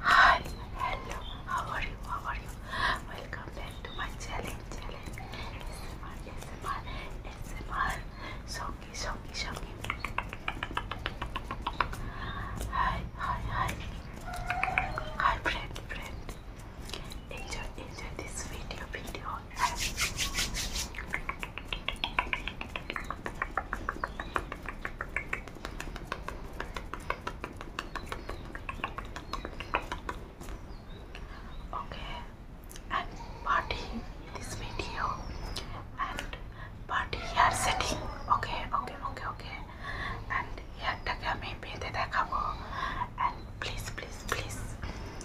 Hi, hello, how are you? How are you? Welcome back to my channel. Channel SMR, SMR, SMR. Shoki, Hi, hi, hi. Hi, friend, friend. Enjoy, enjoy this video, video, Okay, I'm this video and party hair setting. Okay, okay, okay, okay. And hairটাকে আমি বেঁধে দেখাবো and please, please, please.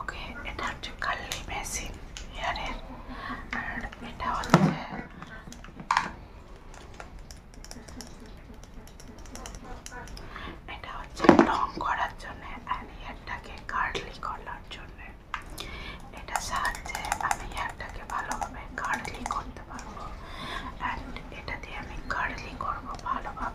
ওকে এটা হচ্ছে কাল্লি machine হেয়ারের আর এটা হচ্ছে এটা হচ্ছে রং করার জন্য আর হেয়ারটাকে কার্লি করার জন্য এটা সাহায্যে আমি হেয়ারটাকে ভালোভাবে কার্লি করতে পারবো অ্যান্ড এটা দিয়ে আমি কার্লি করবো ভালোভাবে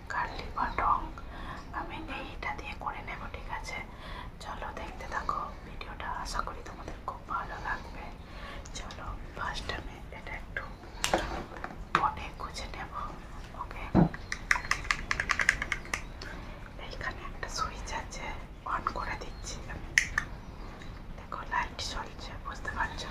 কার্লি বা রং আমি এইটা দিয়ে করে নেব ঠিক আছে চলো দেখতে থাকো ভিডিওটা আশা করি তোমাদের খুব ভালো লাগবে চলো ফার্স্ট আমি এটা একটু পটে গুছে নেব ওকে এইখানে একটা সুইচ আছে অন করে দিচ্ছি আমি দেখো লাইট চলছে বুঝতে পারছো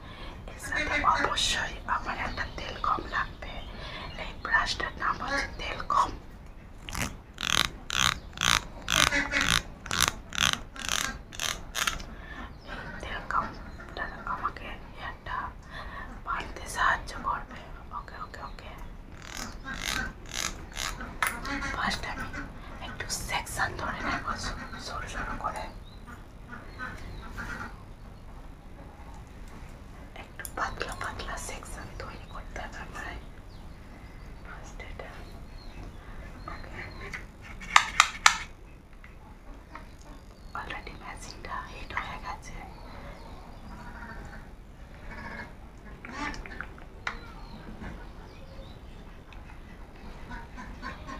এর অবশ্যই আমার একটা তেল কম লাগবে এই ব্রাশটার নাম হচ্ছে তেল কম আমাকে একটা বাড়তে সাহায্য করবে ওকে ওকে ওকে ফার্স্ট আমি একটু সেকশন ধরে নেব সরু সরু করে একটু পাতলা পাতলা সেকশন তৈরি করতে হবে আমায় ফার্স্ট এটা ওকে অলরেডি ম্যাচিংটা হিট হয়ে গেছে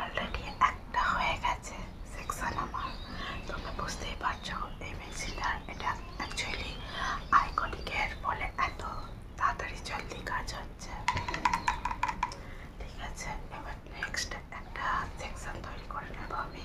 অলরেডি একটা হয়ে গেছে সেকশন আমার তোমরা বুঝতেই পারছো এই পেন্সিলটা এটা অ্যাকচুয়ালি আইকনিকের ফলে এত তাড়াতাড়ি জলদি কাজ হচ্ছে ঠিক আছে এবার নেক্সট একটা সেকশন তৈরি করে নেবো আমি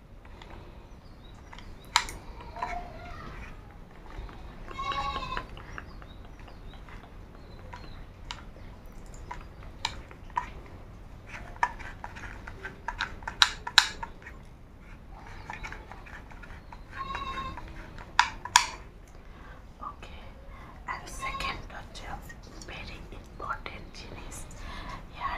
Okay, and second touch very important genius here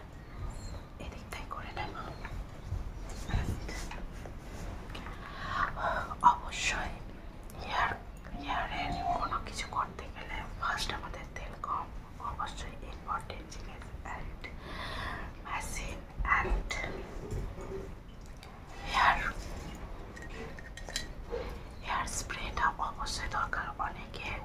এদিকটাই করে নেব অবশ্যই হেয়ার হেয়ারের কোনো কিছু করতে গেলে ফার্স্ট আমাদের তেল কম অবশ্যই ইম্পর্টেন্ট জিনিস and machine and hair hair স্প্রেটা অবশ্যই দরকার অনেকে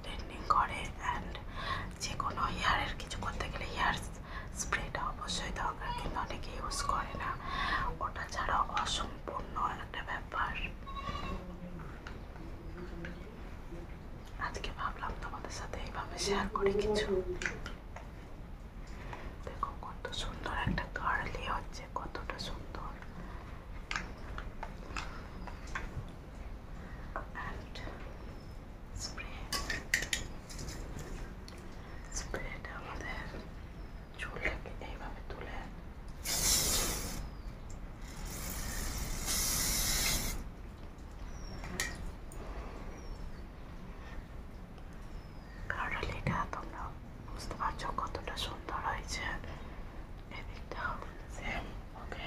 স্ট্রেটনিং করে অ্যান্ড যে কোনো হেয়ারের কিছু করতে গেলে হেয়ার স্প্রেটা অবশ্যই দরকার কিন্তু অনেকে ইউজ করে না ওটা ছাড়া অসম্পূর্ণ একটা ব্যাপার আজকে ভাবলাম তোমাদের সাথে এইভাবে শেয়ার করি কিছু দেখো কত সুন্দর একটা কার্লি হচ্ছে কতটা সুন্দর and spread spread আমাদের চুলটাকে এইভাবে তুলে কারণ এটা তোমরা বুঝতে পারছো কতটা সুন্দর হয়েছে এদিকটাও সেম ওকে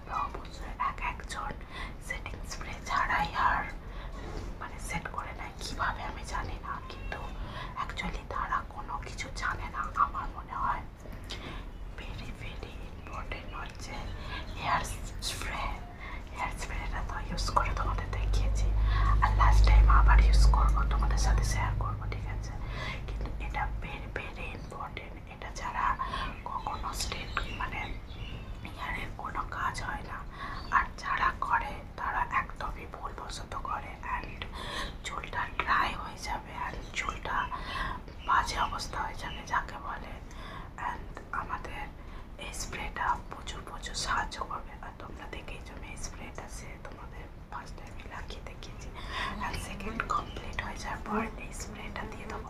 থাকবে অবশ্যই এক একজন সেটিং স্প্রে ছাড়াই আর মানে সেট করে নেয় কীভাবে আমি জানি না কিন্তু অ্যাকচুয়ালি তারা কোনো কিছু জানে না আমার মনে হয় ভেরি ভেরি ইম্পর্টেন্ট হচ্ছে হেয়ার স্প্রে হেয়ার স্প্রেটা তো ইউজ করে তোমাদের দেখিয়েছি আর লাস্ট টাইম আবার ইউজ করবো তোমাদের সাথে শেয়ার করবো ঠিক আছে কিন্তু এটা ভেরি ভেরি ইম্পর্টেন্ট এটা ছাড়া কখনো স্টেট মানে ইয়ারের কোনো কাজ হয় না আর যারা করে তারা একদমই ভুলবশত করে অ্যান্ড চুলটা ড্রাই হয়ে যাবে অ্যান্ড চুলটা বাজে অবস্থা হয়ে যাবে যাকে বলে অ্যান্ড আমাদের এই স্প্রেটা প্রচুর প্রচুর সাহায্য করবে আর তোমরা দেখেই জন্য এই স্প্রেটা সে তোমাদের ফার্স্ট টাইমে লাগিয়ে দেখিয়েছি অ্যান্ড সেকেন্ড কমপ্লিট হয়ে যাওয়ার পর এই স্প্রেটা দিয়ে দেবো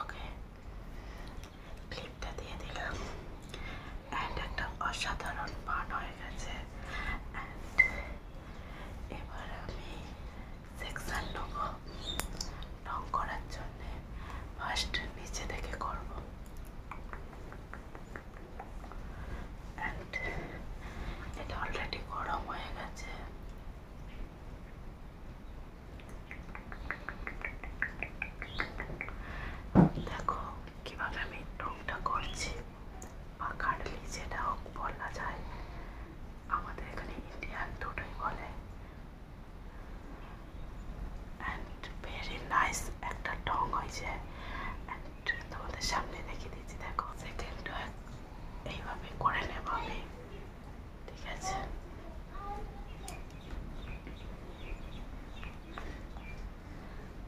ওকে ক্লিপটা দিয়ে দিলাম অ্যান্ড একটা অসাধারণ পান হয়ে গেছে অ্যান্ড এবার আমি সেকশন নেব রং করার জন্যে ফার্স্ট নিচে থেকে করব অ্যান্ড এটা অলরেডি গরম হয়ে গেছে দেখো কিভাবে আমি রংটা করছি বা কাটলি যেটা হোক বলা যায় আমাদের এখানে ইন্ডিয়ান দুটোই বলে অ্যান্ড ভেরি নাইস একটা টং হয়েছে অ্যান্ড তোমাদের সামনে দেখিয়ে দিচ্ছি দেখো সেকেন্ড এইভাবে করে নেব আমি ঠিক আছে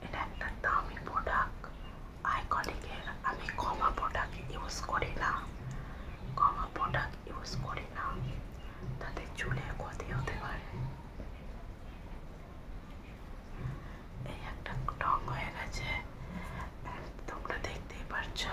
এটা একটা দামি প্রোডাক্ট আইকনিকের আমি কমা প্রোডাক্ট ইউজ করি না কমা প্রোডাক্ট ইউজ করি না তাতে চুলের ক্ষতি হতে পারে এই একটা রং হয়ে গেছে তোমরা দেখতেই পারছো